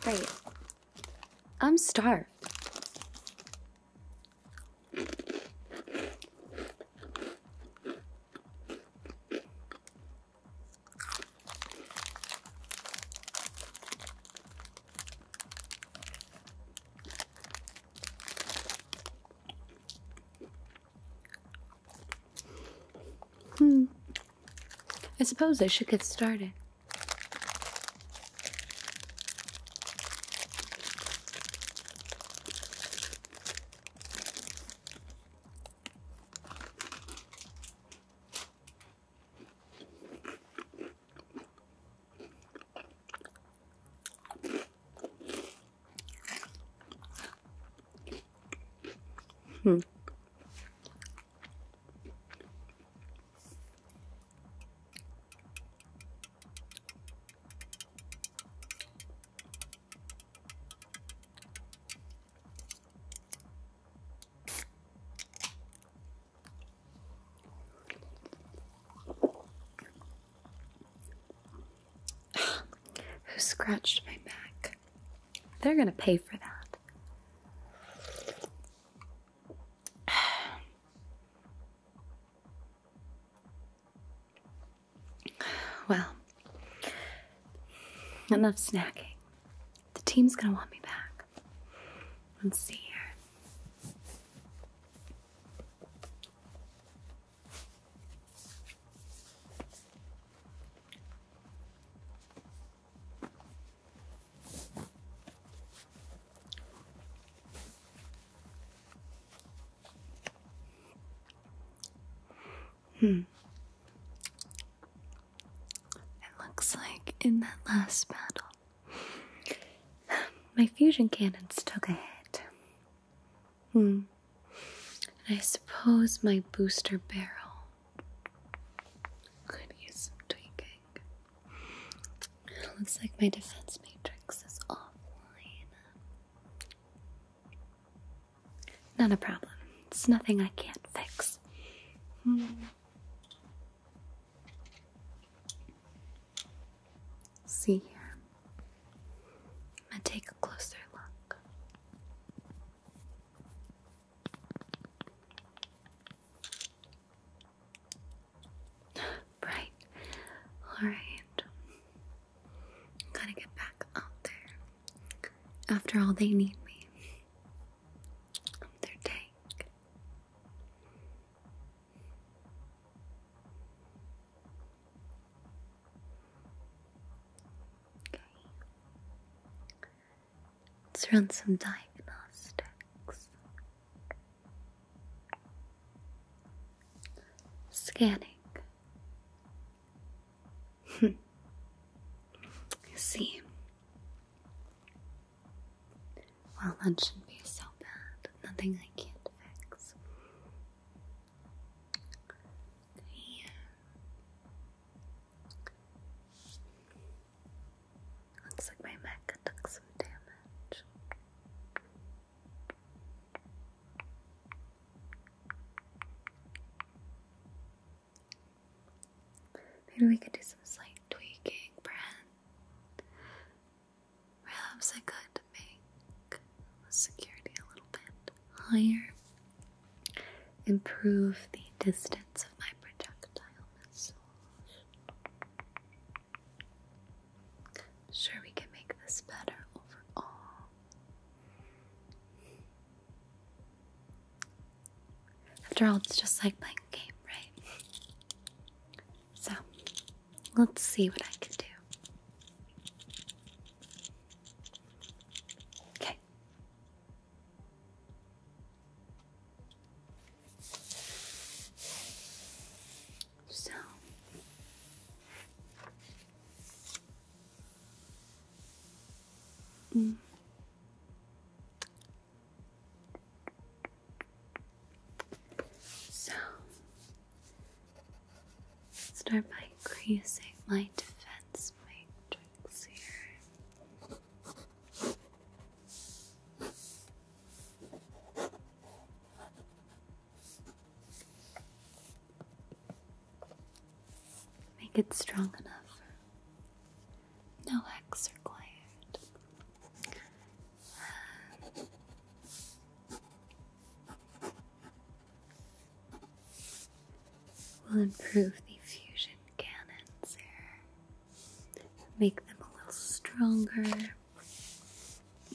Great. I'm starved. Hmm. I suppose I should get started. Hmm. Who scratched my back? They're going to pay for that. well, enough snacking. The team's going to want me back. Let's see here. Hmm. It looks like in that last battle, my fusion cannons took a hit. Hmm. And I suppose my booster barrel could use some tweaking. looks like my defense matrix is offline. Not a problem. It's nothing I can't fix. Hmm. See here. I'm gonna take a closer look. right. Alright. Gotta get back out there. After all, they need me. their tank. Let's run some diagnostics. Scanning. See. Well, that shouldn't be so bad. Nothing I can't fix. Okay. Looks like my mech took some damage. Maybe we could do some slight tweaking, Brent. Perhaps I could make security a little bit higher improve the distance of my projectile missiles. sure we can make this better overall. After all, it's just like playing a game, right? So, let's see what I can do. Okay. So mm. So start by increasing my defense matrix. Make it strong enough. No X required we will improve the fusion cannons here, make them a little stronger,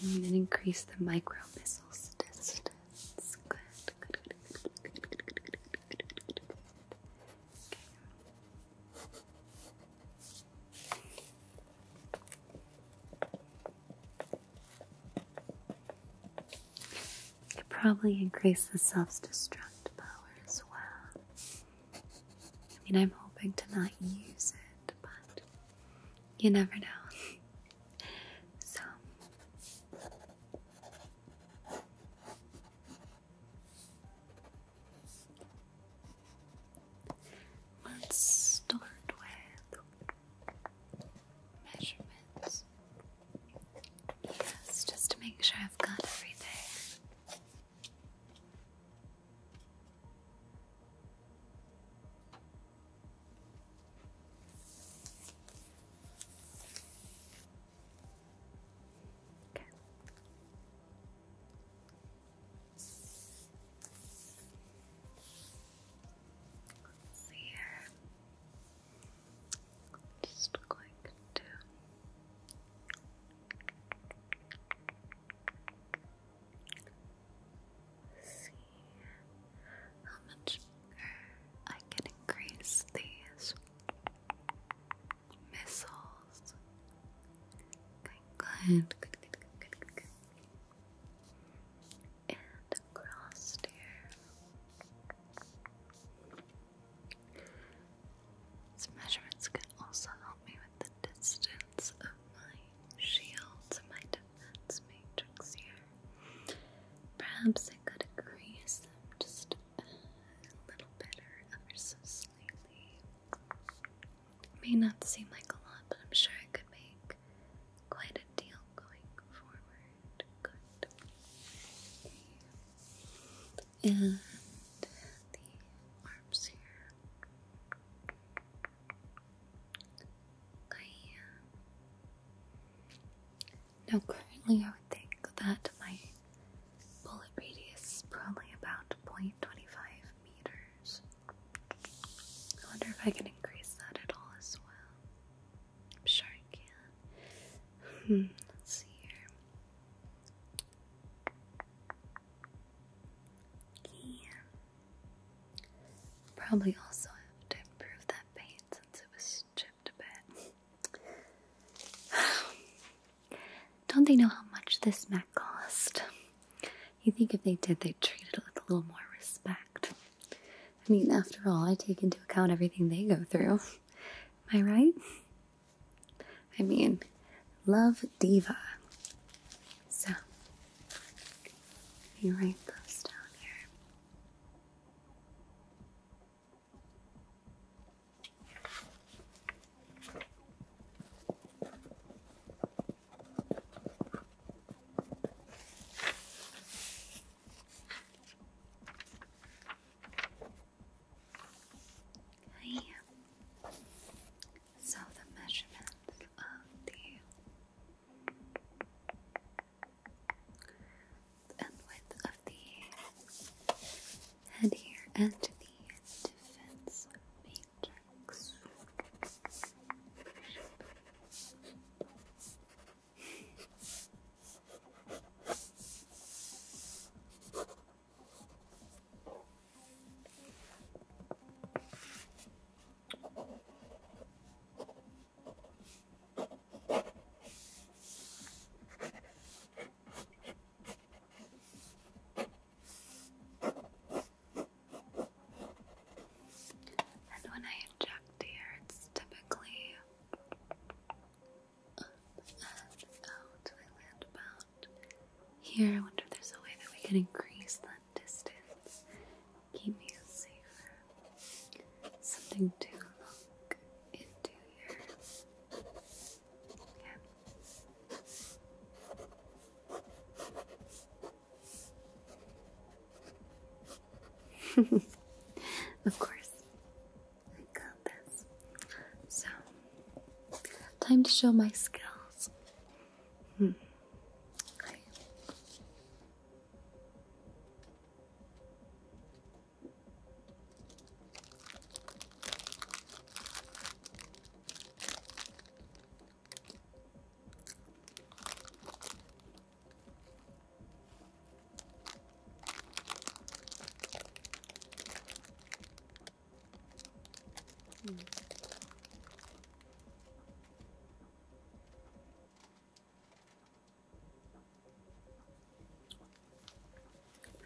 and increase the micro missiles distance. Good, good, it probably increases the self-destruct power as well. I mean, I'm hoping to not use it, but you never know. so, let's start with measurements. Yes, just to make sure I've got everything. Okay. here. Just going to see how much bigger I can increase these missiles. Good, good, good, good, And across here. These measurements can also help me with the distance of my shields. to my defense matrix here. Perhaps I could increase them just a little bit or ever so slightly. may not seem like a lot, but I'm sure I could make quite a deal going forward. And the arms here. Okay. Now, currently, I would think that my bullet radius is probably about 0.25 meters. I wonder if I can increase that at all as well. I'm sure I can. Hmm, let's see here. Yeah. Probably also have to improve that paint since it was chipped a bit. Don't they know how much this mat cost? You think if they did, they'd treat it with a little more respect. I mean, after all, I take into account everything they go through. Am I right? I mean, love diva. So, let me write those down here. Yeah. So the measurements of the and width of the head here and the defense matrix. And when I inject here, it's typically here. I wonder if there's a way that we can increase that distance. Keep you safer. Something to look into here. of course. I got this. So, time to show my skills. Hmm.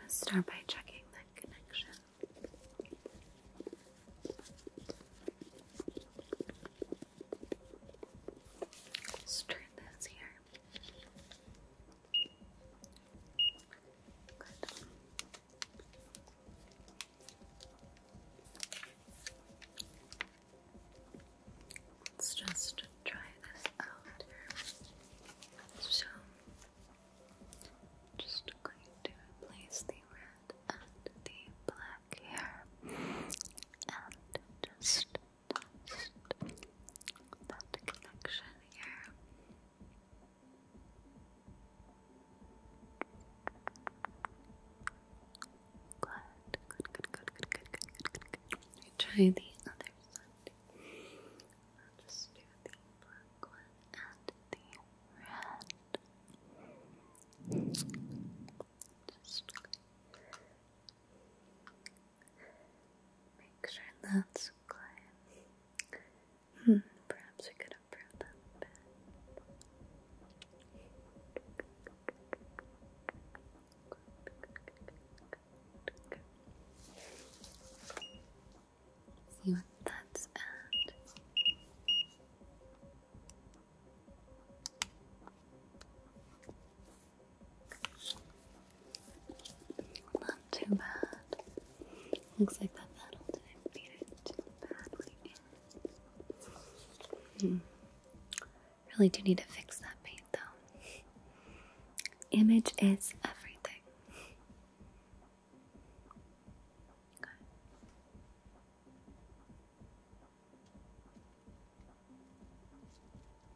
Let's start by checking that connection. let this here. Let's just try this out So, just going to place the red and the black here and just just that connection here. Good, good, good, good, good, good, good, good, good, try the other side. just do the black one and the red. make sure that's Hmm. Hmm, perhaps we could improve that a See what that's at. Not too bad. Looks like that battle didn't beat it too badly. Hmm. Really do need to fix that paint though. Image is everything.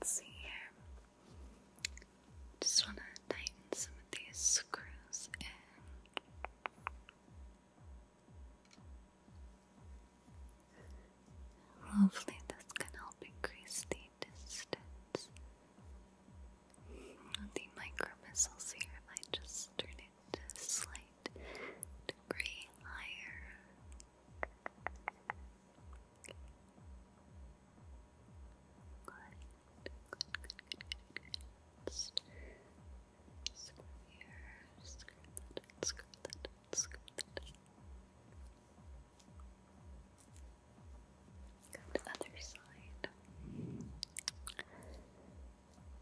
Let's see here. Just want to tighten some of these screws in. Hopefully, this can help increase the distance of the micro missiles here if I just turn it slight degree higher. Go to the other side.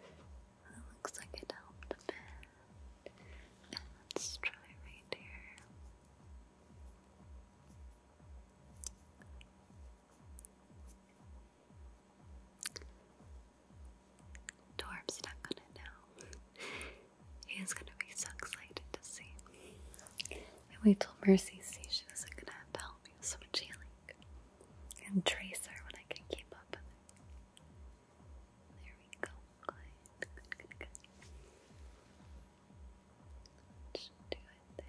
It looks like it helped a bit. let's try right here. Dwarf's not gonna know. He's gonna be so excited to see. And we told Mercy, see, she wasn't gonna have help. It was so much healing. And Tracer when I can keep up There we go. Good, do it there.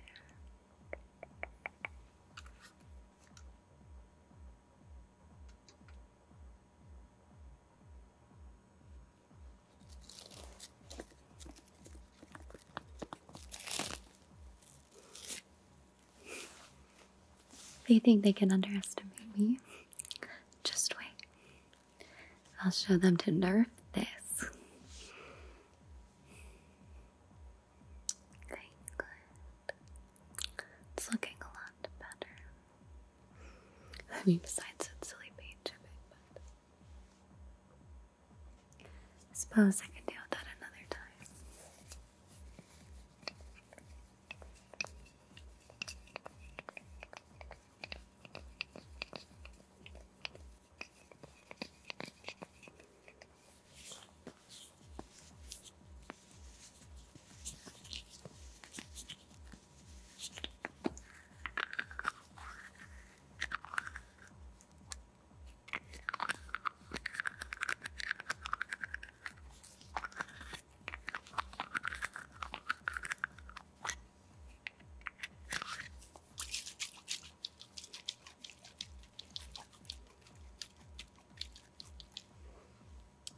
They think they can underestimate me. Just wait. I'll show them to nerf this. Okay, good. It's looking a lot better. I mean, besides that silly page of but I suppose I can deal with that another time.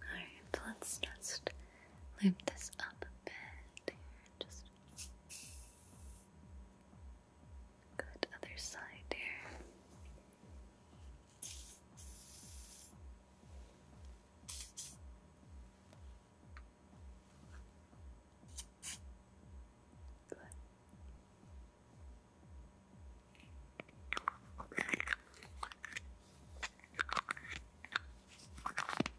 Alright, let's just loop this up bit here. Just other side here. Good.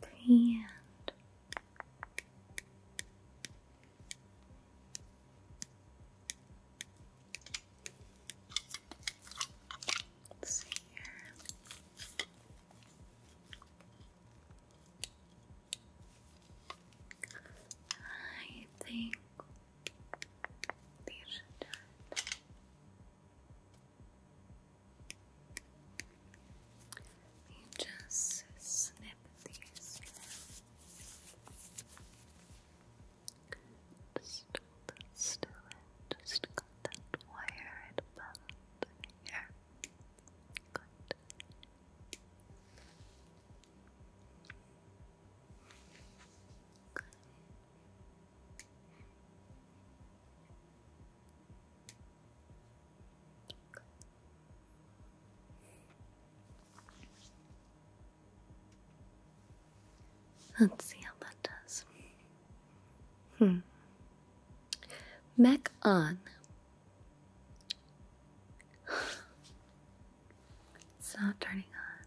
the Let's see I think these are done. You just snip these Just cut that wire at about here. Good. Good. Let's see how that does. Hmm. Mac on. It's not turning on.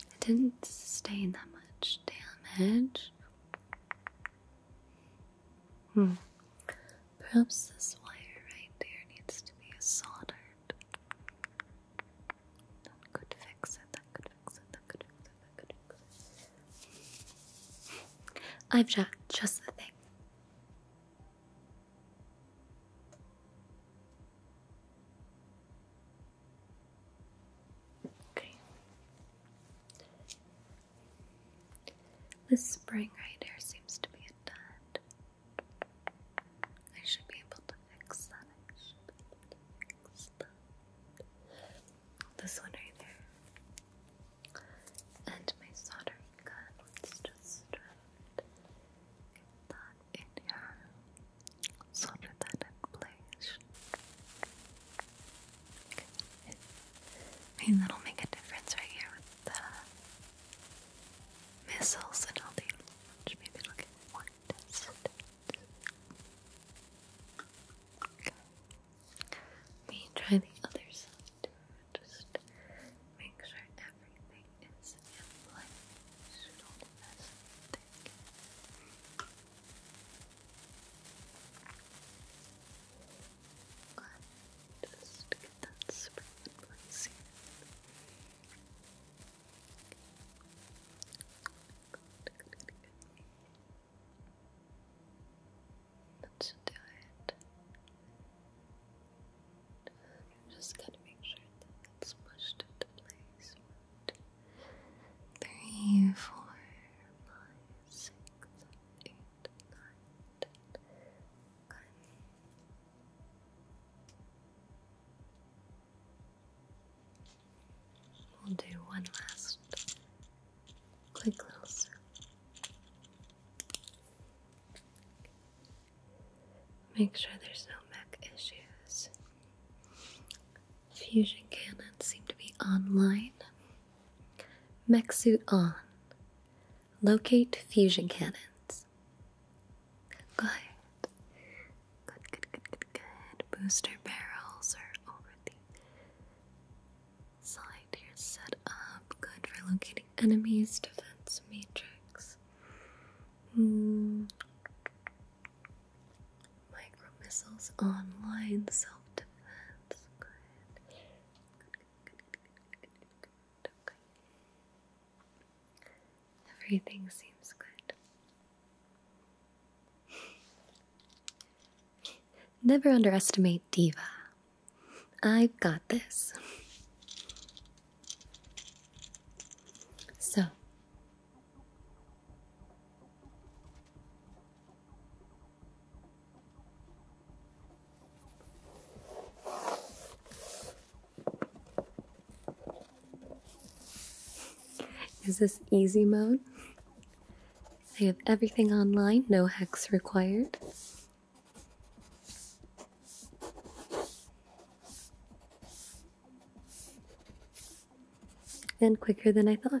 It didn't sustain that much damage. Hmm. Perhaps this wire right there needs to be soldered. That could fix it, that fix it, that fix it, that fix it. I've got just the thing. Okay. This spring right here seems to be a dud. I should be able to fix that. This one right there. And my soldering gun. Let's just try that in here. Solder that in place. I mean, that'll make a difference right here with the missiles and all the Maybe it'll get more distance. Okay. Let me try the other side. Just make sure everything is in place. Should all mess let just get that spring Good, good, Let's do it. just gotta make sure that it's pushed into place. One, two, three, four, five, six, seven, eight, nine, We'll do one last quick little circle. Make sure there's no mech issues. Fusion cannons seem to be online. Mech suit on. Locate fusion cannons. Good. Good, good, good, good, Booster barrels are over the side here set up. Good for locating enemies, defense matrix. Mm. Micro missiles online, self defense. Okay. Everything seems good. Never underestimate Diva. I've got this. So, is this easy mode? I have everything online, no hex required. And quicker than I thought.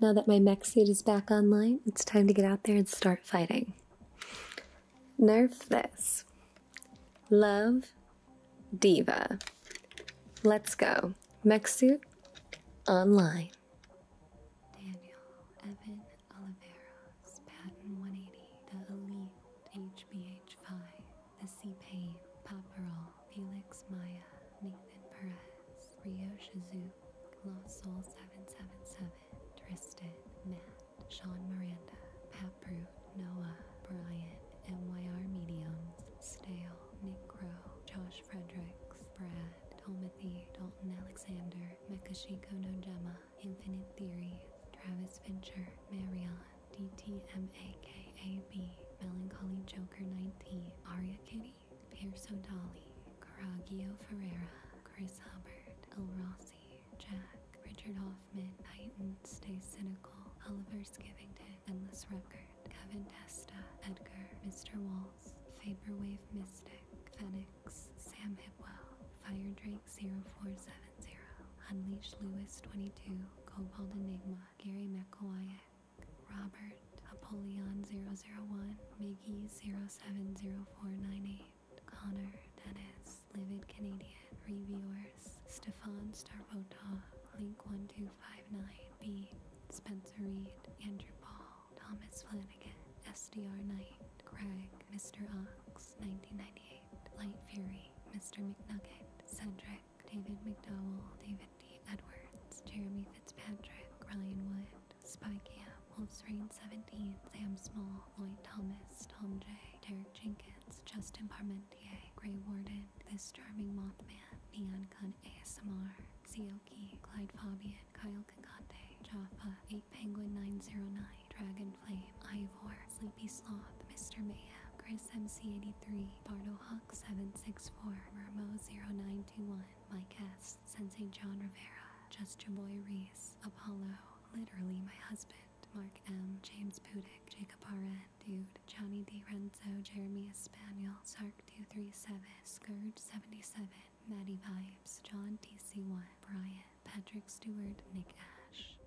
now that my mech suit is back online, it's time to get out there and start fighting. Nerf this. Love Diva. Let's go. Mech suit online. Daniel Evan Oliveros, Patton 180, the Elite HBH5, the C P pain Paparol. Felix Maya, Nathan Perez, Rio Shizuk, Lost Soul 777, Tristan, Matt, Sean Miranda, Pat Brute, Noah, Brian, MYR Mediums, Stale, Nick Crow, Josh Fredericks, Brad, Tomothy, Dalton Alexander, Mekashiko Nojema, Infinite Theory Travis Fincher, Marion, DTMAKAB, Melancholy Joker 19, Aria Kitty, Pierce O'Daly, Caraggio Ferreira, Chris Hubbard, El Rossi, Jack, Richard Hoffman, Titan, Stay Cynical, Oliver's Oliver Skivington, Endless Record, Kevin Testa, Edgar, Mr. Waltz, Vaporwave Mystic, Phoenix, Sam Hipwell, Fire Drake 0470, Unleashed Lewis 22, Cobalt Enigma, Gary McElwayak, Robert, Apollyon 001, Miggy 070498, Connor, Dennis, Livid Canadian, Reviewers, Stefan Starvota, Link1259B, Spencer Reed, Andrew Paul, Thomas Flanagan, SDR Knight, Craig, Mr. Ox, 1998, Light Fury, Mr. McNugget, Cedric, David McDowell, David D. Edwards, Jeremy Fitzpatrick, Ryan Wood, Spike Camp, Wolf's Rain 17, Sam Small, Lloyd Thomas, Tom J, Derek Jenkins, Justin Parmentier, Gray Warden, This Charming Mothman, Neon Gun ASMR, Zioki, Clyde Fabian, Kyle Kakate, Jaffa, 8 Penguin 909, Dragon Flame, Ivor, Sleepy Sloth, Mr. Mayhem, Chris MC83, Bardo Hawk 764, Ramo 0921, Allen, my guest, Saint John Rivera, Justin Boy Reese, Apollo, literally my husband, Mark M, James Pudick, Jacob RN, Dude, Johnny D. Renzo, Jeremy Espaniel, Sark237, Scourge77, Maddie Pipes, John TC1, Brian, Patrick Stewart, Nick Ash.